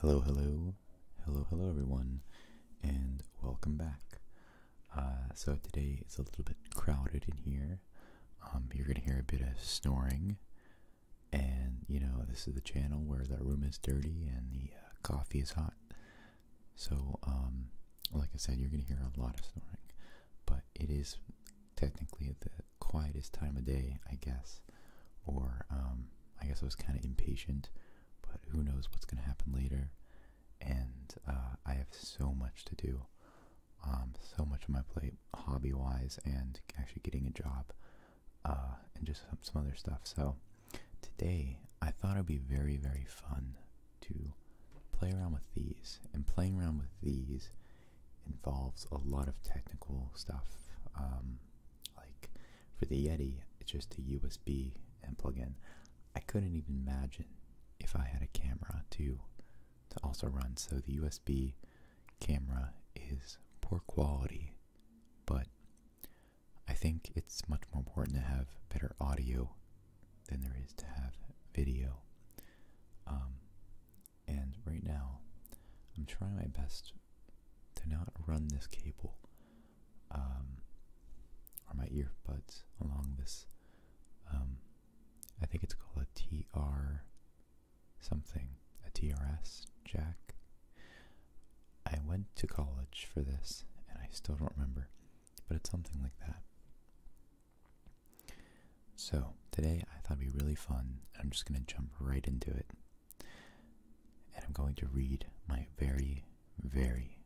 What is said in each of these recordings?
Hello, hello, hello, hello, everyone, and welcome back. Uh, so, today it's a little bit crowded in here. Um, you're going to hear a bit of snoring, and you know, this is the channel where the room is dirty and the uh, coffee is hot. So, um, like I said, you're going to hear a lot of snoring, but it is technically the quietest time of day, I guess. Or um, I guess I was kind of impatient, but who knows what's going to happen later. And uh, I have so much to do, um, so much on my plate, hobby wise, and actually getting a job, uh, and just some other stuff. So today, I thought it would be very, very fun to play around with these. And playing around with these involves a lot of technical stuff. Um, like for the Yeti, it's just a USB and plug in. I couldn't even imagine if I had a camera to to also run. So the USB camera is poor quality, but I think it's much more important to have better audio than there is to have video. Um, and right now, I'm trying my best to not run this cable um, or my earbuds along this. Um, I think it's called a TR something, a TRS jack. I went to college for this and I still don't remember, but it's something like that. So, today I thought it'd be really fun. I'm just going to jump right into it. And I'm going to read my very, very,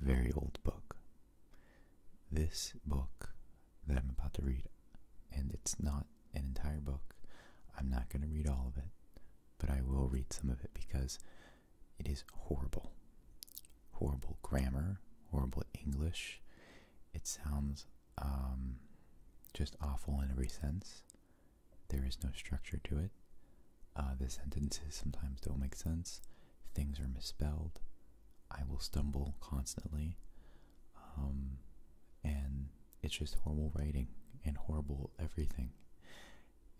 very old book. This book that I'm about to read, and it's not an entire book, I'm not going to read all of it, but I will read some of it because it is horrible. Horrible grammar, horrible English. It sounds um, just awful in every sense. There is no structure to it. Uh, the sentences sometimes don't make sense. Things are misspelled. I will stumble constantly. Um, and it's just horrible writing and horrible everything.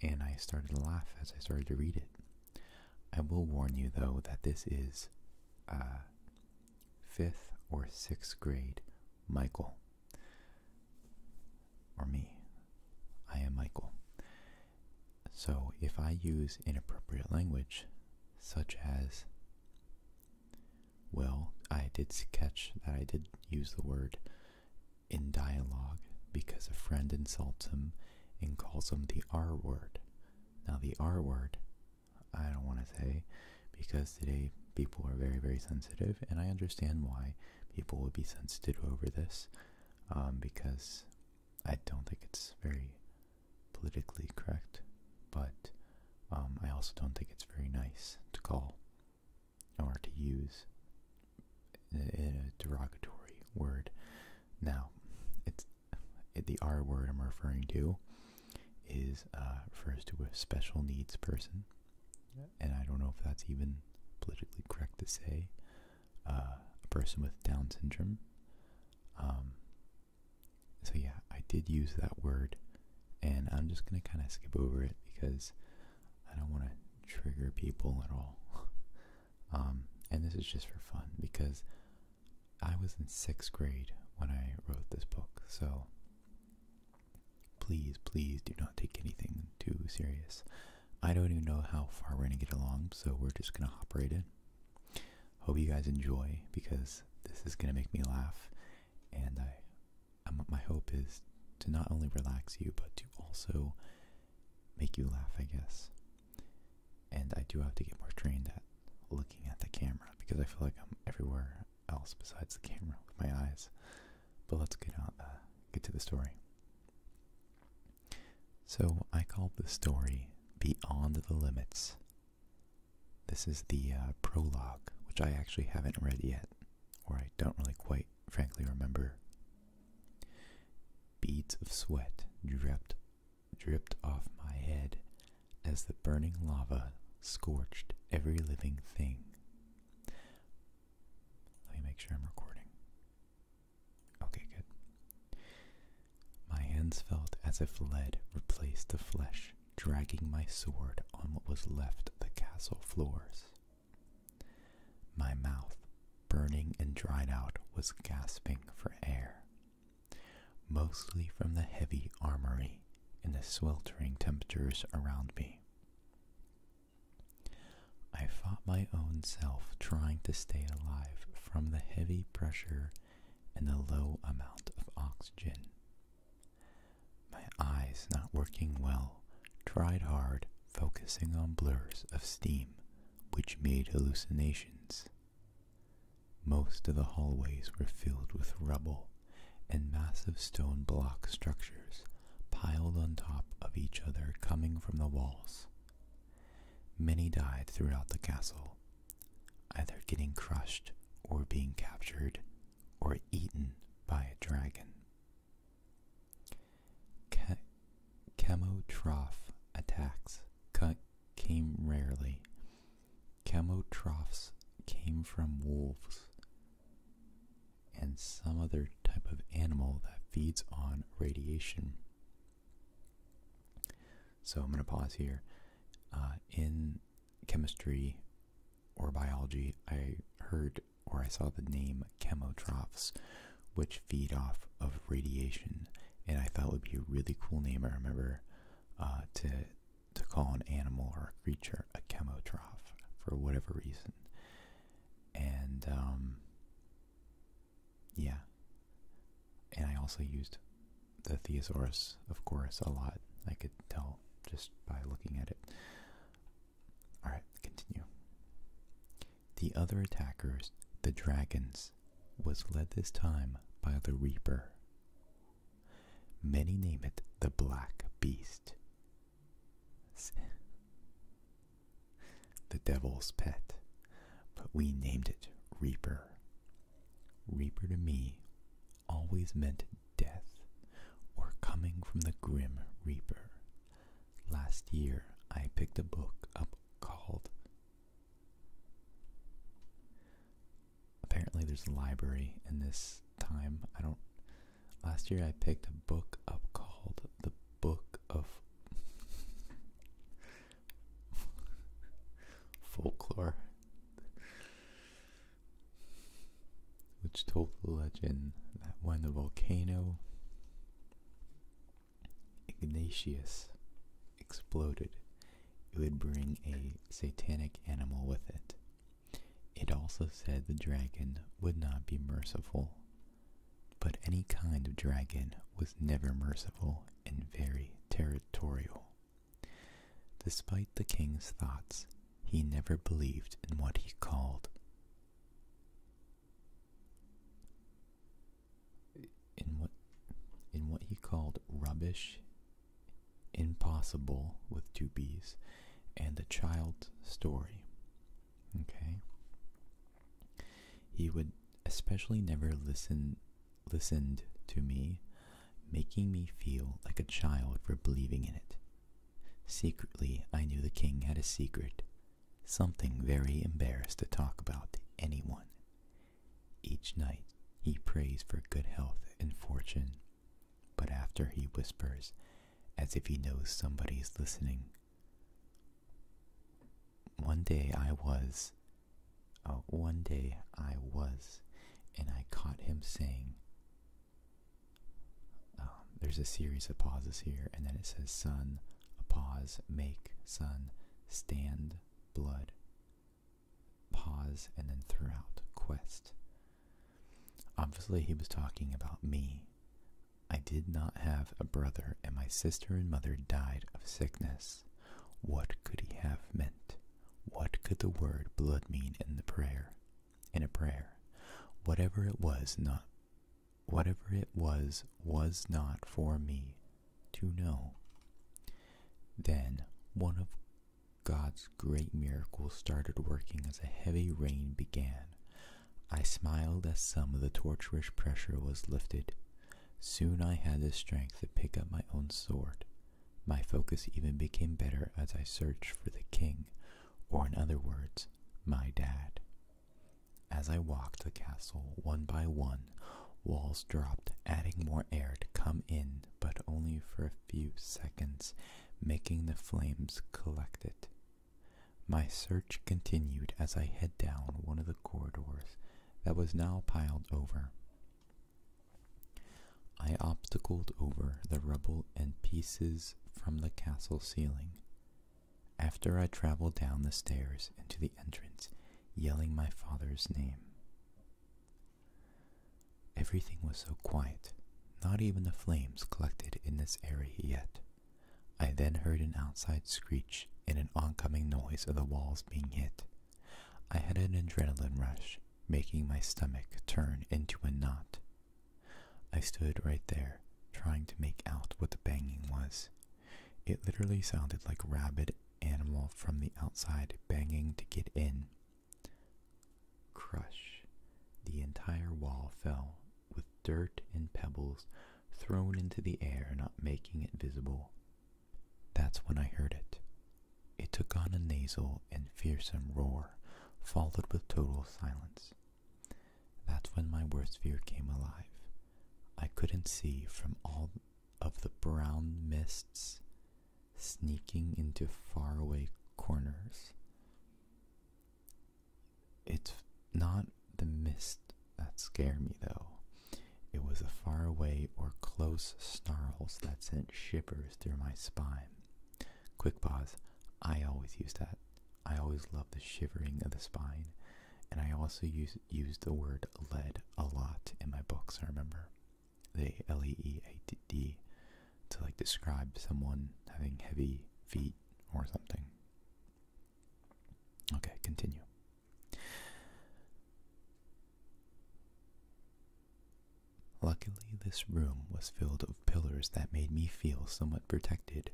And I started to laugh as I started to read it. I will warn you, though, that this is uh, fifth or sixth grade Michael. Or me. I am Michael. So if I use inappropriate language, such as, well, I did sketch that I did use the word in dialogue because a friend insults him and calls him the R word. Now, the R word I don't want to say, because today people are very, very sensitive, and I understand why people would be sensitive over this, um, because I don't think it's very politically correct, but um, I also don't think it's very nice to call or to use a, a derogatory word. Now, it's the R word I'm referring to is uh, refers to a special needs person, and I don't know if that's even politically correct to say uh, a person with Down syndrome. Um, so yeah, I did use that word, and I'm just gonna kind of skip over it because I don't want to trigger people at all. Um, and this is just for fun because I was in sixth grade when I wrote this book, so please, please do not take anything too serious. I don't even know how far we're going to get along, so we're just going to hop right in. Hope you guys enjoy because this is going to make me laugh, and I, my hope is to not only relax you, but to also make you laugh, I guess. And I do have to get more trained at looking at the camera because I feel like I'm everywhere else besides the camera with my eyes. But let's get on, uh, get to the story. So I called the story "Beyond the Limits." This is the uh, prologue, which I actually haven't read yet, or I don't really quite, frankly, remember. Beads of sweat dripped dripped off my head as the burning lava scorched every living thing. Let me make sure I'm recording. Okay, good. My hands felt as if lead replaced the flesh, dragging my sword on what was left of the castle floors. My mouth, burning and dried out, was gasping for air mostly from the heavy armory and the sweltering temperatures around me. I fought my own self trying to stay alive from the heavy pressure and the low amount of oxygen. My eyes not working well, tried hard, focusing on blurs of steam, which made hallucinations. Most of the hallways were filled with rubble and massive stone block structures piled on top of each other coming from the walls. Many died throughout the castle, either getting crushed or being captured or eaten by a dragon. Ke chemotroph attacks came rarely Camel troughs came from wolves and some other type of animal that feeds on radiation. So I'm going to pause here. Uh, in chemistry or biology, I heard or I saw the name chemotrophs, which feed off of radiation, and I thought it would be a really cool name. I remember uh, to to call an animal or a creature a chemotroph for whatever reason. And, um, yeah. And I also used the Theosaurus, of course, a lot. I could tell just by looking at it. Alright, continue. The other attackers, the dragons, was led this time by the Reaper, Many name it the Black Beast, the devil's pet, but we named it Reaper. Reaper to me always meant death or coming from the grim Reaper. Last year I picked a book up called apparently there's a library in this time. I don't. Last year I picked a book up called The Book of Folklore, which told the legend that when the volcano Ignatius exploded, it would bring a satanic animal with it. It also said the dragon would not be merciful, but any kind of dragon was never merciful and very territorial. Despite the king's thoughts, he never believed in what he called in what in what he called rubbish Impossible with two B's and a child's story. Okay. He would especially never listen listened to me, making me feel like a child for believing in it. Secretly, I knew the king had a secret, something very embarrassed to talk about to anyone, each night he prays for good health and fortune, but after he whispers, as if he knows somebody is listening, One day I was, uh, one day I was, and I caught him saying, um, there's a series of pauses here, and then it says, "Sun, a pause, make, sun, stand, blood, pause, and then throughout quest. Obviously, he was talking about me. I did not have a brother, and my sister and mother died of sickness. What could he have meant? What could the word blood mean in the prayer? In a prayer. Whatever it was not whatever it was was not for me to know. Then one of God's great miracle started working as a heavy rain began. I smiled as some of the torturous pressure was lifted. Soon I had the strength to pick up my own sword. My focus even became better as I searched for the king, or in other words, my dad. As I walked the castle one by one, walls dropped, adding more air to come in but only for a few seconds, making the flames collect it. My search continued as I head down one of the corridors that was now piled over. I obstacled over the rubble and pieces from the castle ceiling. After I traveled down the stairs into the entrance, yelling my father's name. Everything was so quiet, not even the flames collected in this area yet. I then heard an outside screech and an oncoming noise of the walls being hit. I had an adrenaline rush, making my stomach turn into a knot. I stood right there, trying to make out what the banging was. It literally sounded like a rabid animal from the outside banging to get in. Crush. The entire wall fell, with dirt and pebbles thrown into the air, not making it visible. That's when I heard it. It took on a nasal and fearsome roar, followed with total silence. That's when my worst fear came alive. I couldn't see from all of the brown mists sneaking into faraway corners. It's not the mist that scared me, though. It was the faraway or close snarls that sent shivers through my spine. Quick pause. I always use that. I always love the shivering of the spine, and I also use, use the word lead a lot in my books, I remember the L E E A T D to like describe someone having heavy feet or something. Okay, continue. Luckily, this room was filled of pillars that made me feel somewhat protected.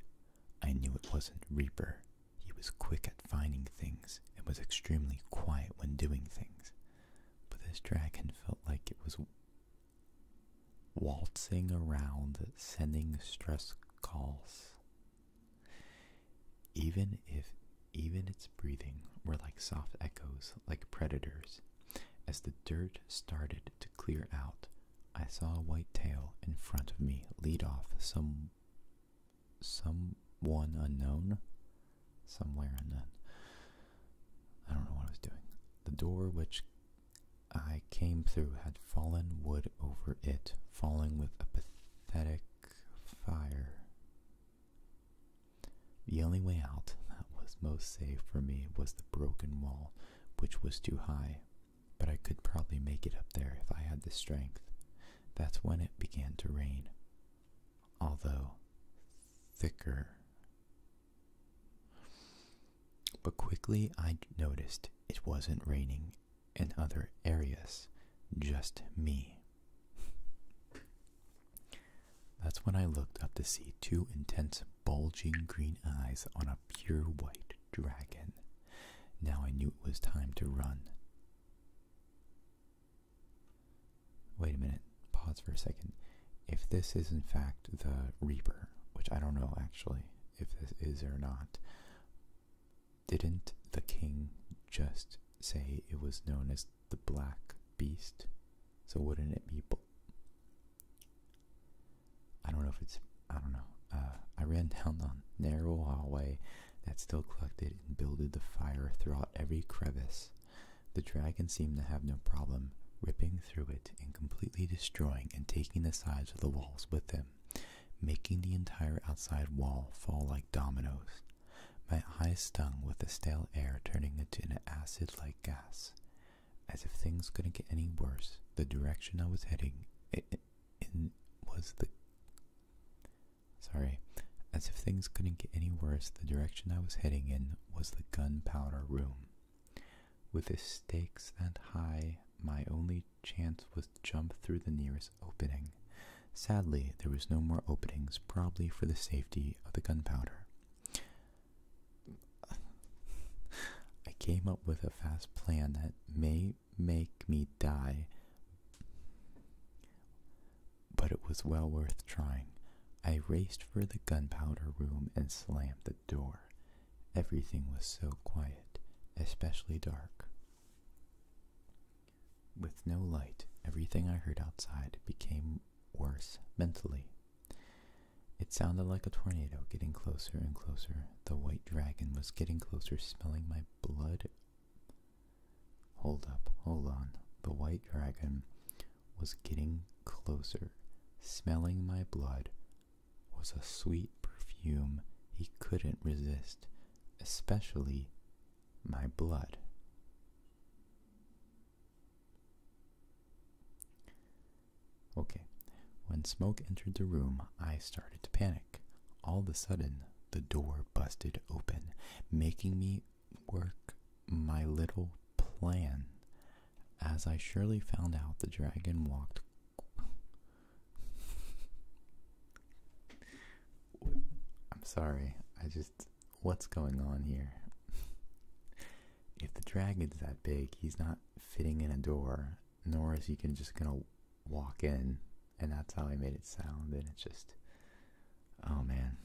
I knew it wasn't Reaper. He was quick at finding things and was extremely quiet when doing things but this dragon felt like it was waltzing around, sending stress calls. Even if even its breathing were like soft echoes, like predators. As the dirt started to clear out, I saw a white tail in front of me lead off some someone unknown somewhere and then I don't know what I was doing. The door which I came through had fallen wood over it, falling with a pathetic fire. The only way out that was most safe for me was the broken wall, which was too high, but I could probably make it up there if I had the strength. That's when it began to rain although thicker. But quickly I noticed it wasn't raining in other areas, just me. That's when I looked up to see two intense, bulging green eyes on a pure white dragon. Now I knew it was time to run. Wait a minute, pause for a second. If this is in fact the Reaper, which I don't know actually if this is or not, didn't the king just say it was known as the Black Beast? So wouldn't it be... I don't know if it's... I don't know. Uh, I ran down the narrow hallway that still collected and builded the fire throughout every crevice the dragon seemed to have no problem ripping through it and completely destroying and taking the sides of the walls with them, making the entire outside wall fall like dominoes. My eyes stung with the stale air turning into an acid like gas. As if things couldn't get any worse, the direction I was heading in was the Sorry. As if things couldn't get any worse, the direction I was heading in was the gunpowder room. With the stakes that high, my only chance was to jump through the nearest opening. Sadly, there was no more openings, probably for the safety of the gunpowder. I came up with a fast plan that may make me die, but it was well worth trying. I raced for the gunpowder room and slammed the door. Everything was so quiet, especially dark. With no light, everything I heard outside became worse mentally. It sounded like a tornado getting closer and closer. The white dragon was getting closer, smelling my blood Hold up, hold on. The white dragon was getting closer. Smelling my blood was a sweet perfume he couldn't resist, especially my blood. Okay, when smoke entered the room, I started to panic. All of a sudden, the door busted open, making me work my little plan. As I surely found out, the dragon walked. I'm sorry, I just. What's going on here? if the dragon's that big, he's not fitting in a door, nor is he can just gonna walk in, and that's how I made it sound, and it's just Oh man.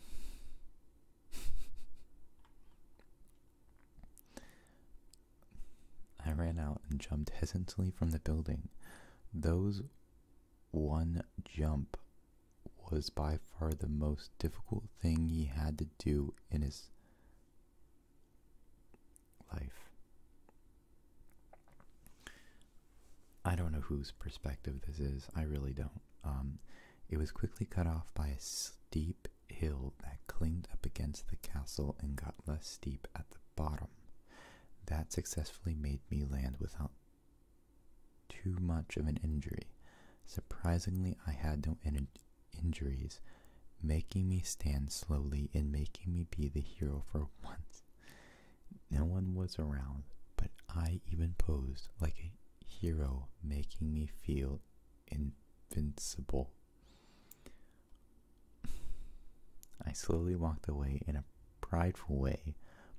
I ran out and jumped hesitantly from the building. Those one jump was by far the most difficult thing he had to do in his life. I don't know whose perspective this is. I really don't. Um, it was quickly cut off by a steep hill that climbed up against the castle and got less steep at the bottom. That successfully made me land without too much of an injury. Surprisingly, I had no injuries, making me stand slowly and making me be the hero for once. No one was around, but I even posed like a hero, making me feel invincible. I slowly walked away in a prideful way,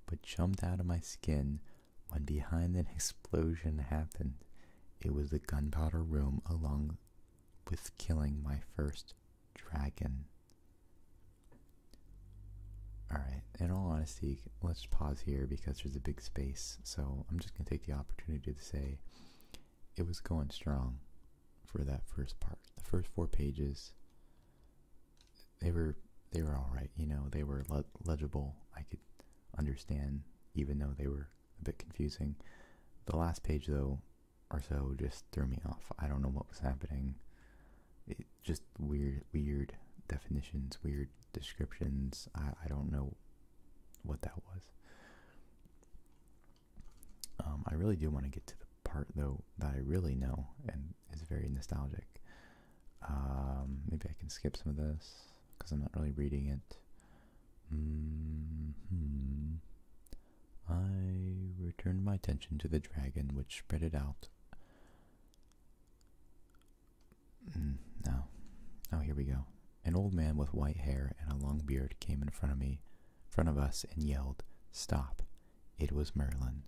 but jumped out of my skin when behind an explosion happened. It was the gunpowder room along with killing my first dragon. Alright, in all honesty, let's pause here because there's a big space. So I'm just going to take the opportunity to say it was going strong for that first part. The first four pages, they were they were all right. You know, they were legible. I could understand, even though they were a bit confusing. The last page, though, or so, just threw me off. I don't know what was happening just weird, weird definitions, weird descriptions. I, don't know what that was. Um, I really do want to get to the part though that I really know and is very nostalgic. Um, maybe I can skip some of this because I'm not really reading it. Mm-hmm. I returned my attention to the dragon, which spread it out Mm, no. Oh, here we go. An old man with white hair and a long beard came in front of me, front of us, and yelled, "Stop!" It was Merlin.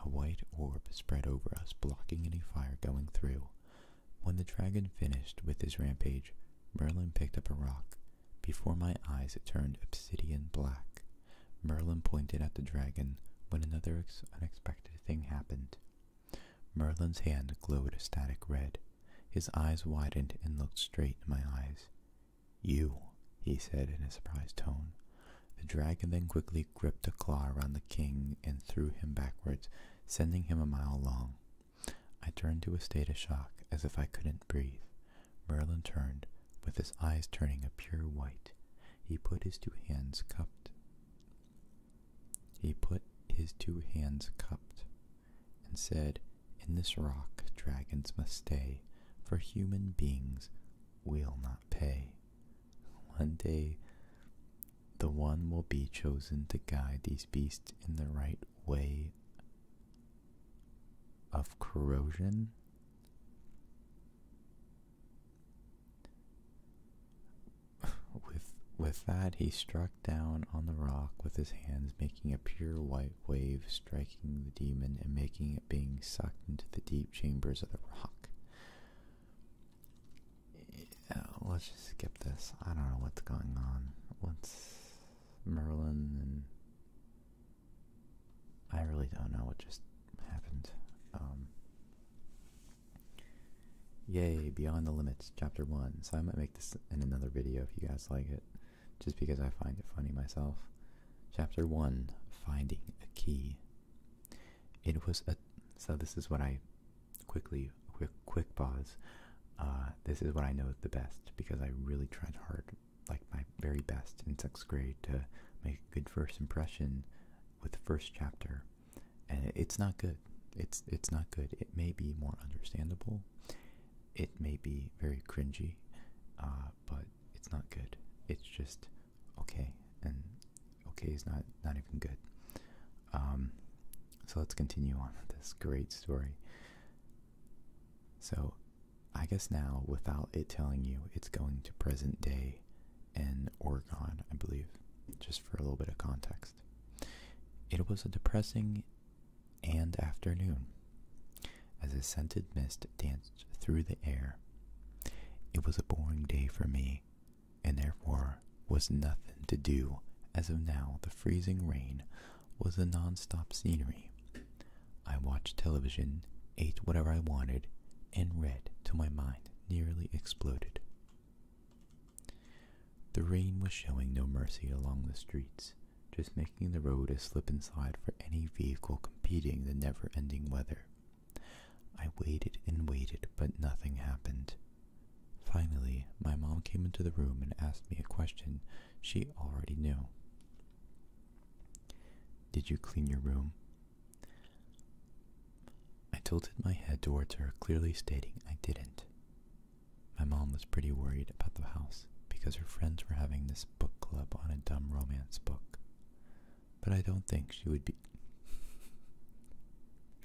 A white orb spread over us, blocking any fire going through. When the dragon finished with his rampage, Merlin picked up a rock. Before my eyes it turned obsidian black. Merlin pointed at the dragon when another unexpected exact thing happened. Merlin's hand glowed a static red. His eyes widened and looked straight in my eyes. You, he said in a surprised tone. The dragon then quickly gripped a claw around the king and threw him backwards, sending him a mile long. I turned to a state of shock, as if I couldn't breathe. Merlin turned, with his eyes turning a pure white. He put his two hands cupped he put his two hands cupped, and said, In this rock dragons must stay, for human beings will not pay. One day the one will be chosen to guide these beasts in the right way of corrosion with with that he struck down on the rock with his hands, making a pure white wave, striking the demon and making it being sucked into the deep chambers of the rock. Yeah, let's just skip this. I don't know what's going on. What's Merlin and I really don't know what just happened. Um, Yay, Beyond the Limits, Chapter 1. So I might make this in another video if you guys like it, just because I find it funny myself. Chapter 1 Finding a Key. It was a. So this is what I. Quickly, quick, pause. Uh, this is what I know the best because I really tried hard, like my very best in sixth grade, to make a good first impression with the first chapter, and it's not good. It's it's not good. It may be more understandable. It may be very cringy, uh, but it's not good. It's just okay, and okay is not not even good. Um, so let's continue on this great story. So, I guess now, without it telling you, it's going to present day in Oregon, I believe, just for a little bit of context. It was a depressing and afternoon as a scented mist danced through the air. It was a boring day for me, and therefore was nothing to do. As of now, the freezing rain was a non-stop scenery. I watched television, ate whatever I wanted, and read to my mind nearly exploded. The rain was showing no mercy along the streets, just making the road a slip and slide for any vehicle competing the never ending weather. I waited and waited, but nothing happened. Finally, my mom came into the room and asked me a question she already knew. Did you clean your room? I tilted my head towards her, clearly stating I didn't. My mom was pretty worried about the house because her friends were having this book club on a dumb romance book. But I don't think she would be.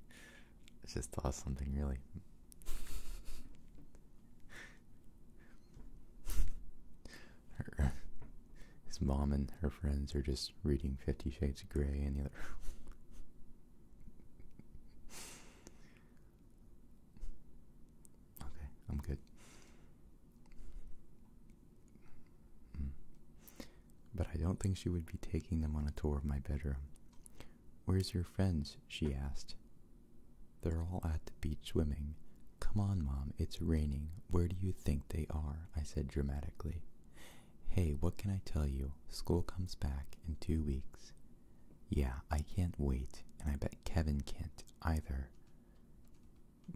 I just thought something really her, his mom and her friends are just reading Fifty Shades of Grey and the other Okay, I'm good. Hmm. But I don't think she would be taking them on a tour of my bedroom. Where's your friends? she asked. They're all at the beach swimming. Come on, Mom, it's raining. Where do you think they are? I said dramatically. Hey, what can I tell you? School comes back in two weeks. Yeah, I can't wait, and I bet Kevin can't either.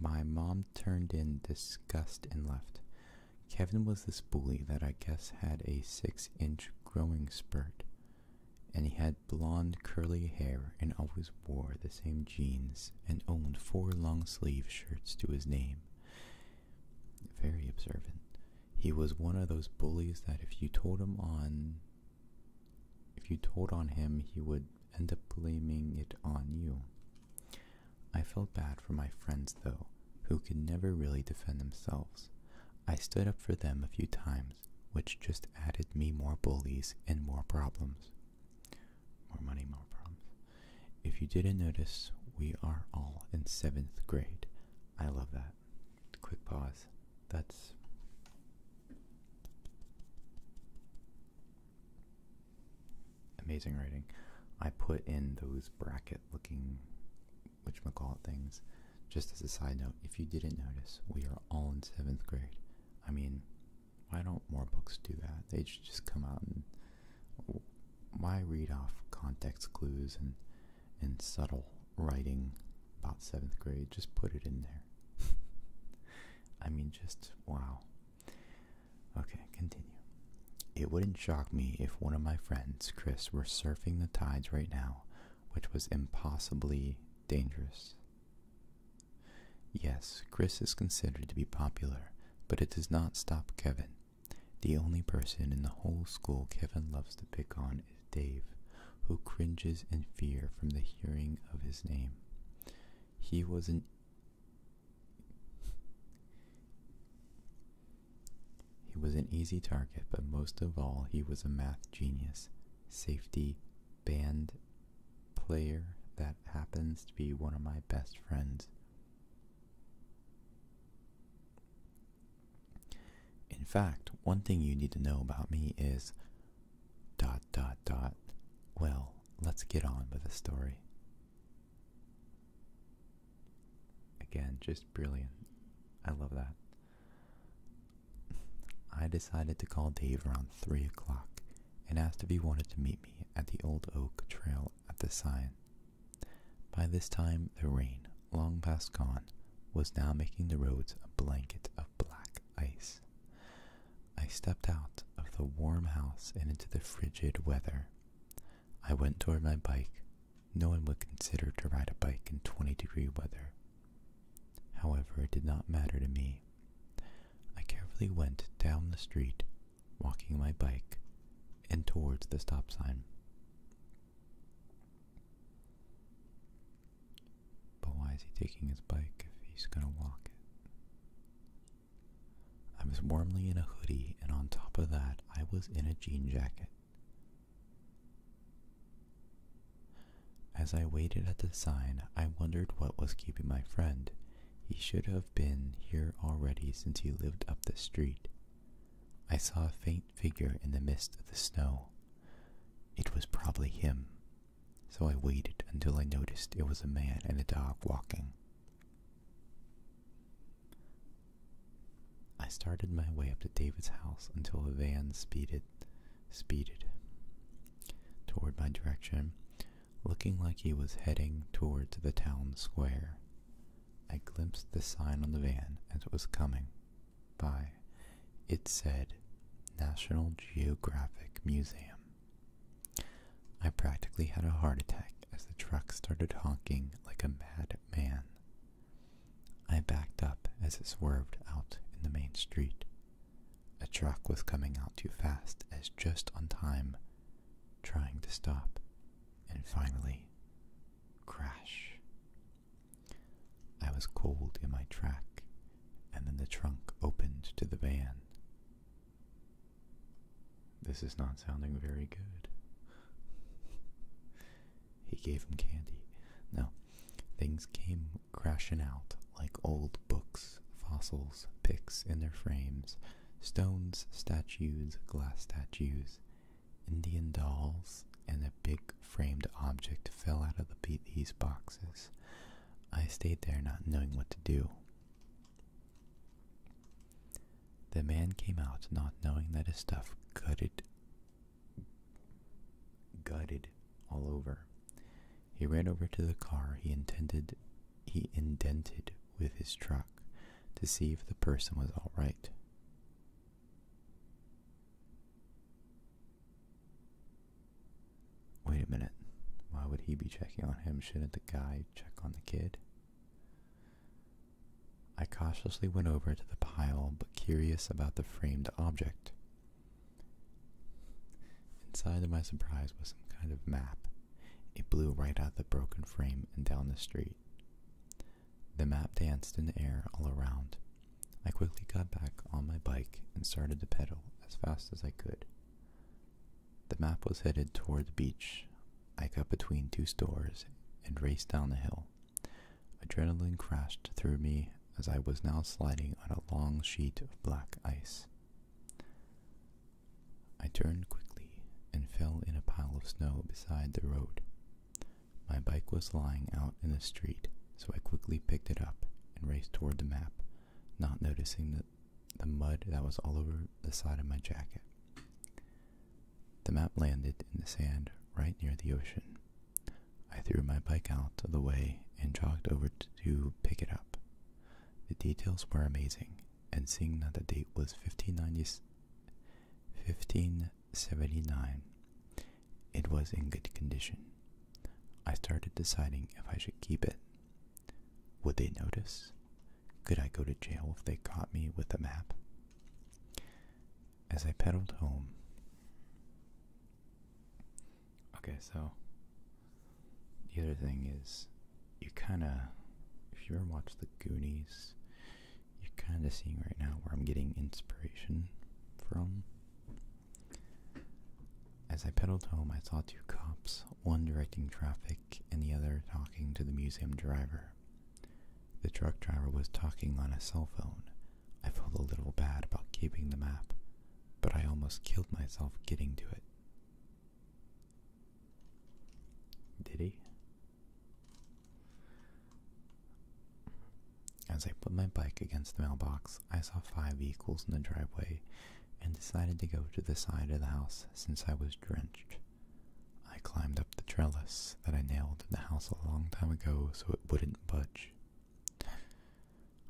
My mom turned in disgust and left. Kevin was this bully that I guess had a six inch growing spurt, and he had had blonde curly hair and always wore the same jeans and owned four long sleeve shirts to his name. Very observant. He was one of those bullies that if you told him on if you told on him, he would end up blaming it on you. I felt bad for my friends though, who could never really defend themselves. I stood up for them a few times which just added me more bullies and more problems. More money, more problems. If you didn't notice, we are all in seventh grade. I love that. Quick pause. That's. Amazing writing. I put in those bracket looking which whatchamacallit things. Just as a side note, if you didn't notice, we are all in seventh grade. I mean, why don't more books do that? They should just come out and why read off context clues and and subtle writing about seventh grade? Just put it in there. I mean, just wow. Okay, continue. It wouldn't shock me if one of my friends, Chris, were surfing the tides right now, which was impossibly dangerous. Yes, Chris is considered to be popular, but it does not stop Kevin. The only person in the whole school Kevin loves to pick on is Dave, who cringes in fear from the hearing of his name. He was an He was an easy target, but most of all, he was a math genius. Safety, band, player that happens to be one of my best friends. In fact, one thing you need to know about me is dot dot dot. Well, let's get on with the story. Again, just brilliant. I love that. I decided to call Dave around 3 o'clock and ask if he wanted to meet me at the Old Oak Trail at the sign. By this time, the rain, long past gone, was now making the roads a blanket of black ice. I stepped out of the warm house and into the frigid weather. I went toward my bike. No one would consider to ride a bike in 20 degree weather. However, it did not matter to me. I carefully went down the street, walking my bike, and towards the stop sign. But why is he taking his bike if he's gonna walk I was warmly in a hoodie, and on top of that, I was in a jean jacket. As I waited at the sign, I wondered what was keeping my friend. He should have been here already since he lived up the street. I saw a faint figure in the midst of the snow. It was probably him, so I waited until I noticed it was a man and a dog walking. I started my way up to David's house until a van speeded speeded toward my direction, looking like he was heading towards the town square. I glimpsed the sign on the van as it was coming by. It said, National Geographic Museum. I practically had a heart attack as the truck started honking like a madman. I backed up as it swerved out in the main street. A truck was coming out too fast as just on time, trying to stop, and finally, crash. I was cold in my track, and then the trunk opened to the van. This is not sounding very good. He gave him candy. No, things came crashing out like old books, fossils, pics in their frames, stones, statues, glass statues, Indian dolls, and a big framed object fell out of the, these boxes. I stayed there not knowing what to do. The man came out not knowing that his stuff gutted gutted all over. He ran over to the car he intended he indented with his truck to see if the person was all right. Wait a minute. Why would he be checking on him? Shouldn't the guy check on the kid? I cautiously went over to the pile, but curious about the framed object. Inside of my surprise was some kind of map. It blew right out of the broken frame and down the street. The map danced in the air all around. I quickly got back on my bike and started to pedal as fast as I could. The map was headed toward the beach. I cut between two stores and raced down the hill. Adrenaline crashed through me as I was now sliding on a long sheet of black ice. I turned quickly and fell in a pile of snow beside the road. My bike was lying out in the street, so I quickly picked it up and raced toward the map, not noticing the, mud that was all over the side of my jacket. The map landed in the sand right near the ocean. I threw my bike out of the way and jogged over to pick it up. The details were amazing, and seeing that the date was 1579, it was in good condition. I started deciding if I should keep it. Would they notice? Could I go to jail if they caught me with a map? As I pedaled home, Okay, so the other thing is, you kind of, if you ever watch The Goonies, you're kind of seeing right now where I'm getting inspiration from. As I pedaled home, I saw two cops, one directing traffic and the other talking to the museum driver. The truck driver was talking on a cell phone. I felt a little bad about keeping the map, but I almost killed myself getting to it. Did he? As I put my bike against the mailbox, I saw five vehicles in the driveway and decided to go to the side of the house since I was drenched. I climbed up the trellis that I nailed in the house a long time ago so it wouldn't budge.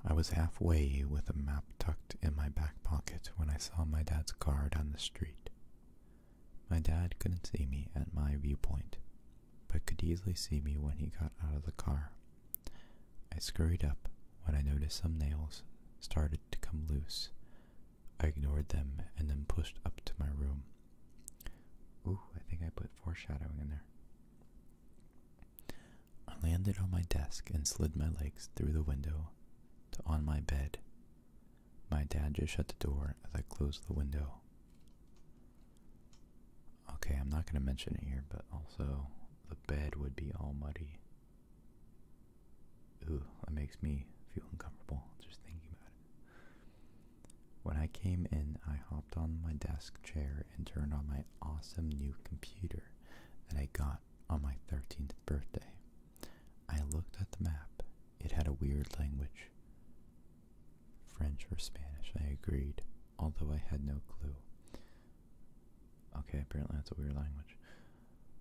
I was halfway with a map tucked in my back pocket when I saw my dad's car down the street. My dad couldn't see me at my viewpoint, but could easily see me when he got out of the car. I scurried up when I noticed some nails started to come loose. I ignored them and then pushed up to my room. Ooh, I think I put foreshadowing in there. I landed on my desk and slid my legs through the window to on my bed. My dad just shut the door as I closed the window. Okay, I'm not going to mention it here, but also the bed would be all muddy. Ooh, that makes me feel uncomfortable just thinking about it. When I came in, I hopped on my desk chair and turned on my awesome new computer that I got on my 13th birthday. I looked at the map. It had a weird language. French or Spanish, I agreed, although I had no clue. Okay, apparently that's a weird language.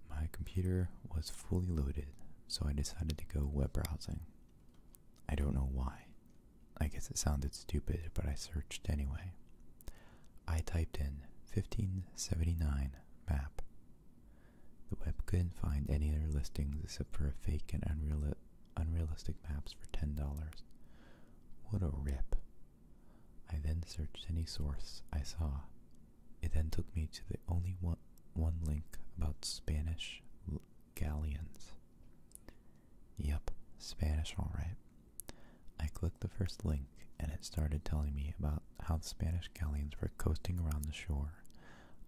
My computer was fully loaded, so I decided to go web browsing. I don't know why. I guess it sounded stupid, but I searched anyway. I typed in 1579 map. The web couldn't find any other listings except for a fake and unrealistic maps for $10. What a rip. I then searched any source I saw. It then took me to the only one link about Spanish galleons. Yep, Spanish, alright. I clicked the first link and it started telling me about how the Spanish galleons were coasting around the shore.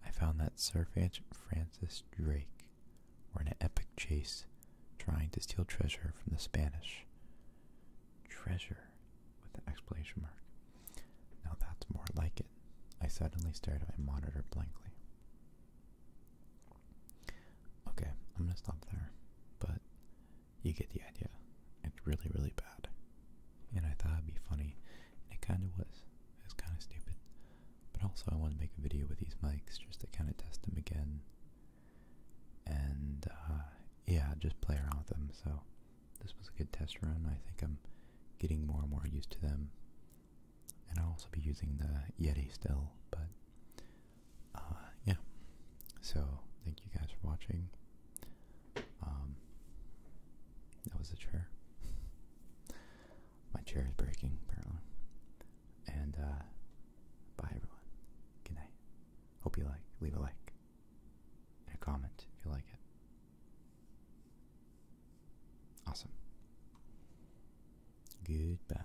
I found that Sir Francis Drake were in an epic chase trying to steal treasure from the Spanish. Treasure with an exclamation mark. Now that's more like it. I suddenly stared at my monitor blankly. Okay, I'm gonna stop there, but you get the idea. It's really, really bad. And I thought it'd be funny, and it kinda was. It was kinda stupid. But also, I wanted to make a video with these mics just to kinda test them again. And, uh, yeah, just play around with them. So, this was a good test run. I think I'm getting more and more used to them. And I'll also be using the Yeti still, but uh, yeah. So thank you guys for watching. Um, that was a chair. My chair is breaking apparently. And uh, bye everyone. Good night. Hope you like. Leave a like and a comment if you like it. Awesome. Goodbye.